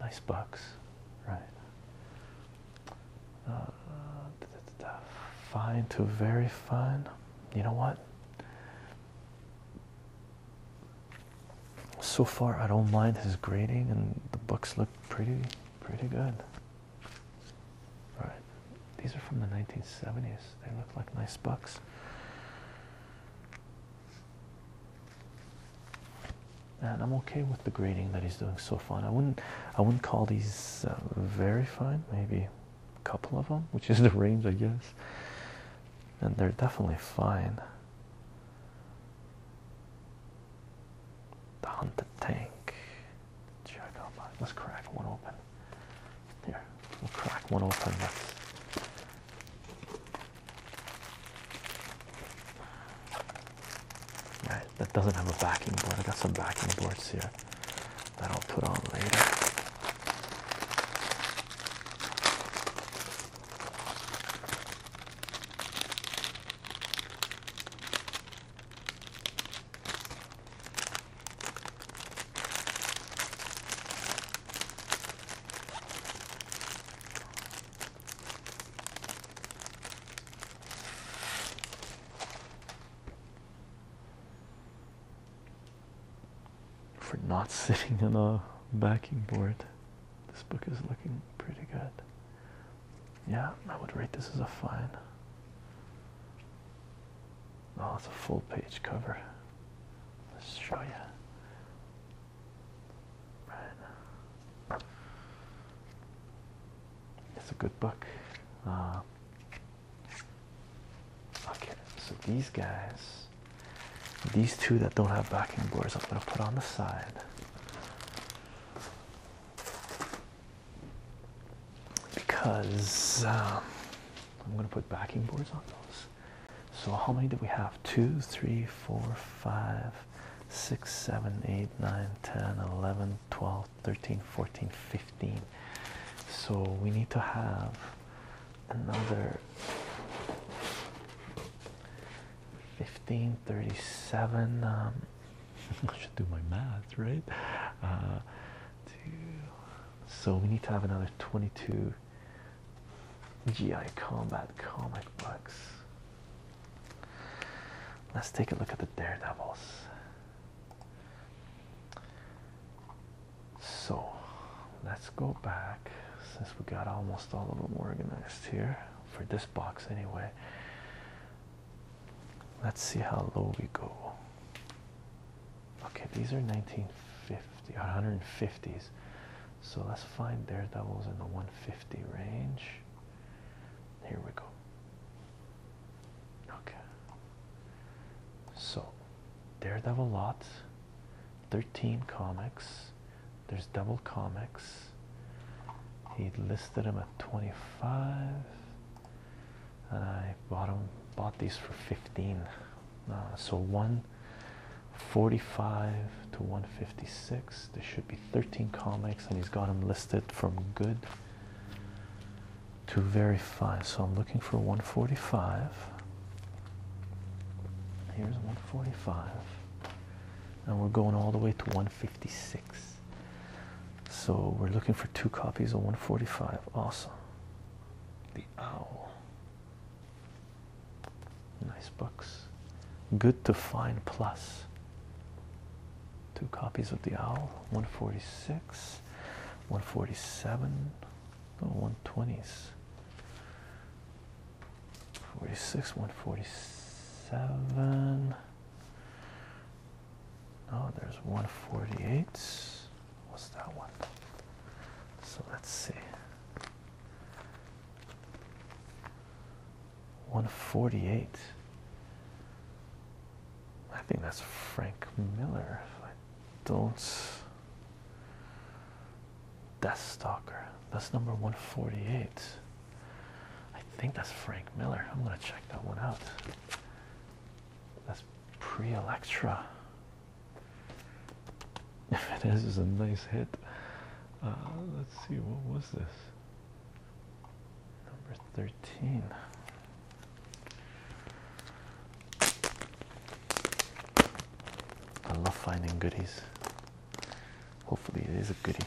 nice bucks right uh, fine to very fine you know what so far i don't mind his grading and the books look pretty pretty good all right, these are from the 1970s. They look like nice bucks. And I'm okay with the grading that he's doing so far. I wouldn't, I wouldn't call these uh, very fine. Maybe a couple of them, which is the range, I guess. And they're definitely fine. The hunted tank. Check out. Let's crack one open that. Here, we'll crack one open. let that doesn't have a backing board. I got some backing boards here that I'll put on later. For not sitting on a backing board, this book is looking pretty good. Yeah, I would rate this as a fine. Oh, it's a full page cover. Let's show you. Right. It's a good book. Uh, okay, so these guys, these two that don't have backing boards, I'm going to put on the side because um, I'm going to put backing boards on those. So, how many do we have? Two, three, four, five, six, seven, eight, nine, ten, eleven, twelve, thirteen, fourteen, fifteen. So, we need to have another fifteen thirty-seven. Um, I should do my math, right? Uh, so we need to have another 22 GI Combat comic books. Let's take a look at the Daredevils. So let's go back since we got almost all of them organized here for this box anyway. Let's see how low we go. Okay, these are 1950 or 150s. So let's find Daredevils in the 150 range. Here we go. Okay. So Daredevil lots, 13 comics. There's double comics. He listed him at 25 uh, I bought them, bought these for 15 uh, so 145 to 156 there should be 13 comics and he's got them listed from good to very fine so I'm looking for 145 here's 145 and we're going all the way to 156 so we're looking for two copies of 145 awesome the Owl. Nice books. Good to Find Two copies of The Owl. 146, 147, oh, 120s. 46, 147. Oh, there's 148. What's that one? So let's see. 148. I think that's Frank Miller. I don't. Death Stalker. That's number 148. I think that's Frank Miller. I'm gonna check that one out. That's pre-Electra. If it is, is a nice hit. Uh, let's see, what was this? Number 13. I love finding goodies. Hopefully, it is a goodie.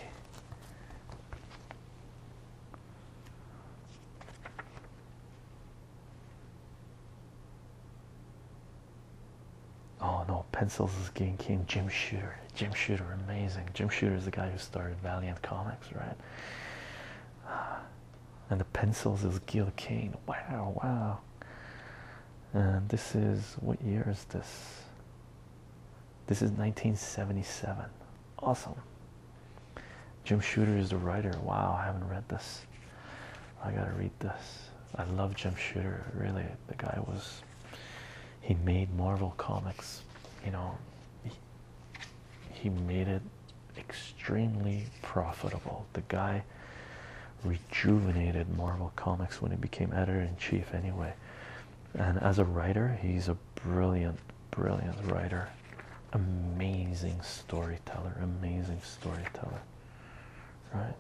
Oh no, pencils is Gil Kane. Jim Shooter. Jim Shooter, amazing. Jim Shooter is the guy who started Valiant Comics, right? and the pencils is Gil Kane. Wow, wow. And this is what year is this? This is 1977. Awesome. Jim Shooter is the writer. Wow, I haven't read this. I gotta read this. I love Jim Shooter. Really, the guy was. He made Marvel comics. You know, he, made it extremely profitable. The guy rejuvenated Marvel comics when he became editor in chief. Anyway, and as a writer, he's a brilliant, brilliant writer amazing storyteller, amazing storyteller, right?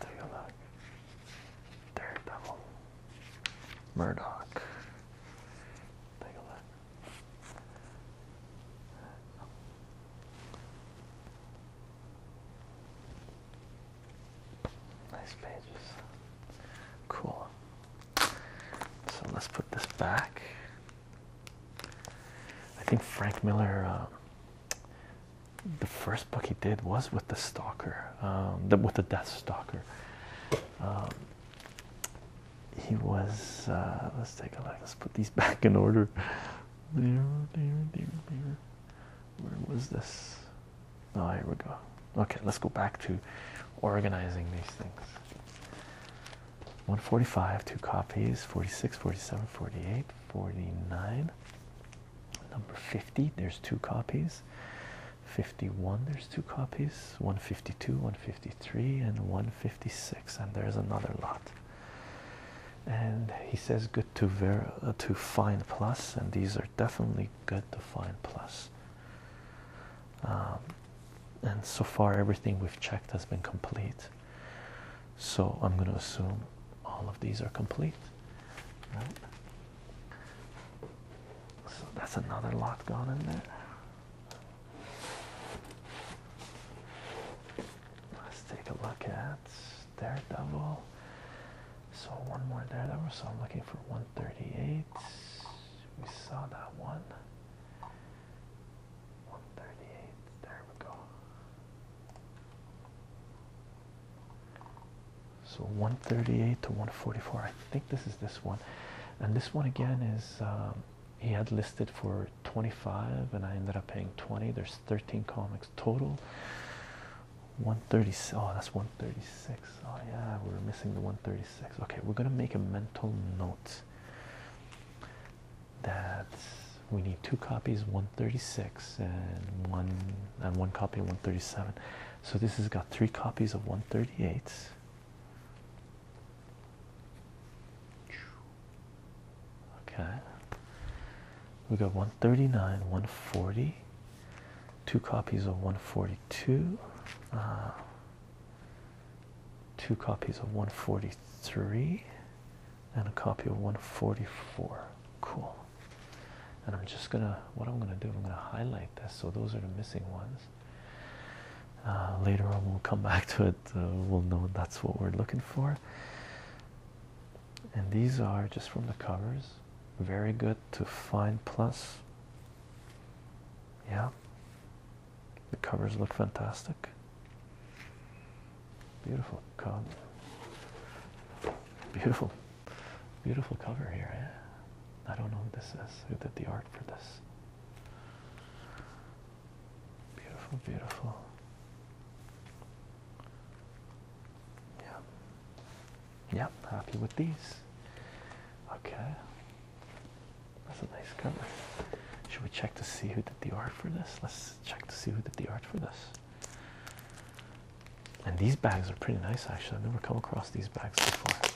take a look. Daredevil, Murdoch. Take a look. Nice pages. Cool. So let's put this back. I think Frank Miller, um, the first book he did was with the Stalker, um, with the Death Stalker. Um, he was, uh, let's take a look, let's put these back in order. There, there, there, there. Where was this? Oh, here we go. Okay, let's go back to organizing these things. 145, two copies, 46, 47, 48, 49. Number 50, there's two copies. 51, there's two copies. 152, 153, and 156. And there's another lot. And he says good to ver uh, to find plus, and these are definitely good to find plus. Um, and so far everything we've checked has been complete so i'm going to assume all of these are complete so that's another lot gone in there let's take a look at daredevil so one more daredevil so i'm looking for 138 we saw that one 138, there we go. So 138 to 144, I think this is this one. And this one again is um, he had listed for 25 and I ended up paying 20. There's 13 comics total. 136, oh that's 136. Oh yeah, we're missing the 136. Okay, we're gonna make a mental note that we need two copies 136 and one and one copy 137 so this has got three copies of 138 okay we got 139 140 two copies of 142 uh, two copies of 143 and a copy of 144 cool and i'm just gonna what i'm gonna do i'm gonna highlight this so those are the missing ones uh, later on we'll come back to it uh, we'll know that's what we're looking for and these are just from the covers very good to find plus yeah the covers look fantastic. Beautiful cover. Beautiful, beautiful cover here. Eh? I don't know who this is. Who did the art for this? Beautiful, beautiful. Yeah. Yep, happy with these. Okay. That's a nice cover. Should we check to see who did the art for this? Let's check to see who did the art for this. And these bags are pretty nice, actually. I've never come across these bags before.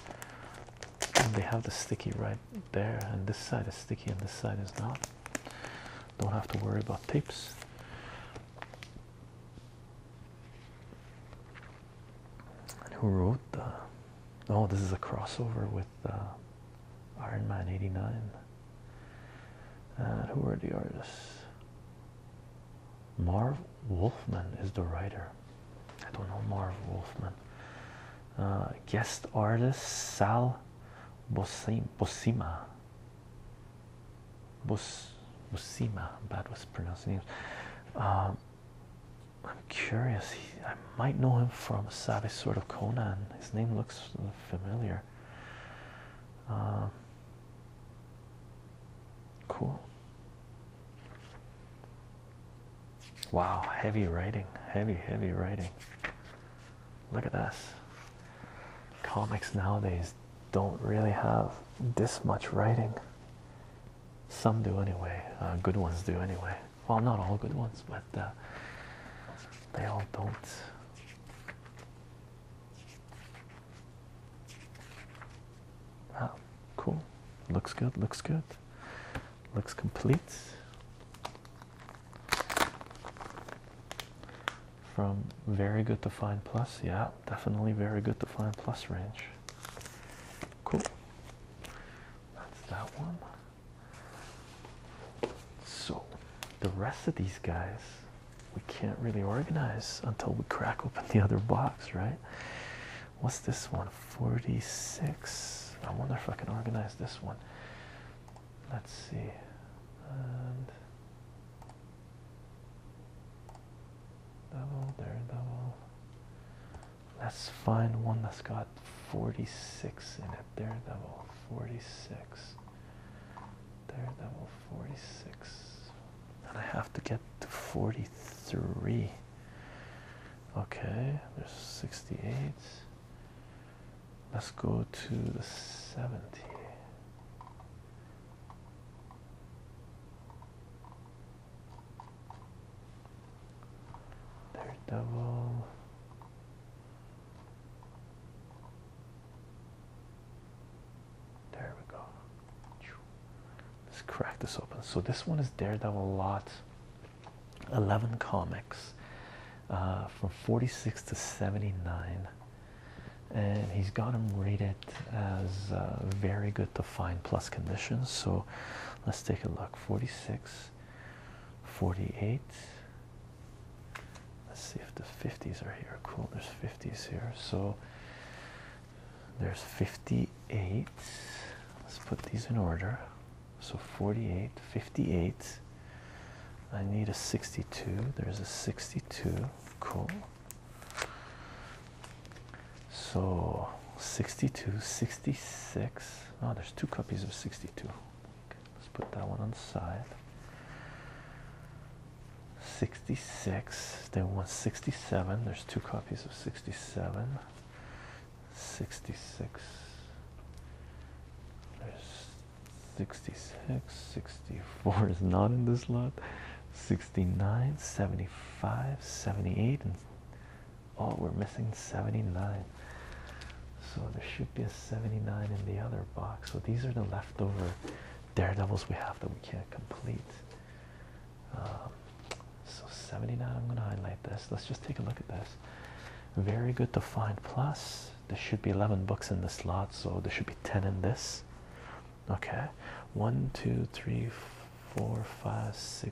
And they have the sticky right there, and this side is sticky, and this side is not. Don't have to worry about tapes who wrote the? Oh, this is a crossover with uh, Iron Man '89. And who are the artists? Marv Wolfman is the writer. I don't know Marv Wolfman. Uh, guest artist Sal Bosim Bosima. Bos Bosima. Bad was pronouncing names. Um, I'm curious. I might know him from Savage sort of Conan. His name looks familiar. Um, cool. Wow, heavy writing. Heavy, heavy writing. Look at this. Comics nowadays don't really have this much writing. Some do anyway. Uh, good ones do anyway. Well, not all good ones, but uh, they all don't. Wow, ah, cool. Looks good. Looks good. Looks complete. From very good to fine plus, yeah, definitely very good to fine plus range. Cool. That's that one. So, the rest of these guys we can't really organize until we crack open the other box, right? What's this one? 46. I wonder if I can organize this one. Let's see. double, there, double. Let's find one that's got 46 in it. Daredevil 46. Daredevil 46. And I have to get to 43. Okay, there's 68. Let's go to the 70. Daredevil. There we go. Let's crack this open. So this one is Daredevil lot 11 comics uh, from 46 to 79 and he's got him rated as uh, very good to fine plus conditions so let's take a look 46 48. Let's see if the 50s are here. Cool, there's 50s here. So there's 58. Let's put these in order. So 48, 58. I need a 62. There's a 62. Cool. So 62, 66. Oh, there's two copies of 62. Okay, let's put that one on side. 66. They one sixty-seven. There's two copies of 67. 66. There's 66. 64 is not in this lot. 69, 75, 78, Oh, we're missing 79. So there should be a 79 in the other box. So these are the leftover daredevils we have that we can't complete. Um, so 79, I'm going to highlight this. Let's just take a look at this. Very good to find. Plus, there should be 11 books in the slot, so there should be 10 in this. Okay, 1, 2, 3, 4, 5, 6,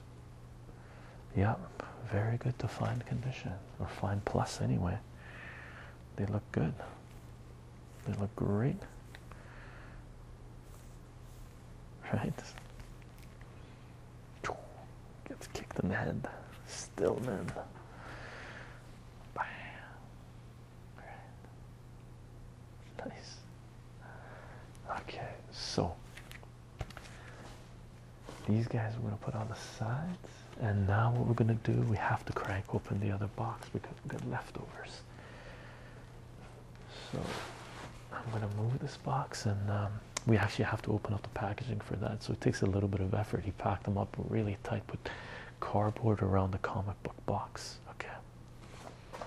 plus. Yep, very good to find condition or find plus anyway. They look good. They look great. Right? Gets kicked in the head. Still, man. Nice. Okay, so these guys we're gonna put on the sides, and now what we're gonna do, we have to crank open the other box because we got leftovers. So I'm gonna move this box, and um, we actually have to open up the packaging for that. So it takes a little bit of effort. He packed them up really tight with cardboard around the comic book box. Okay.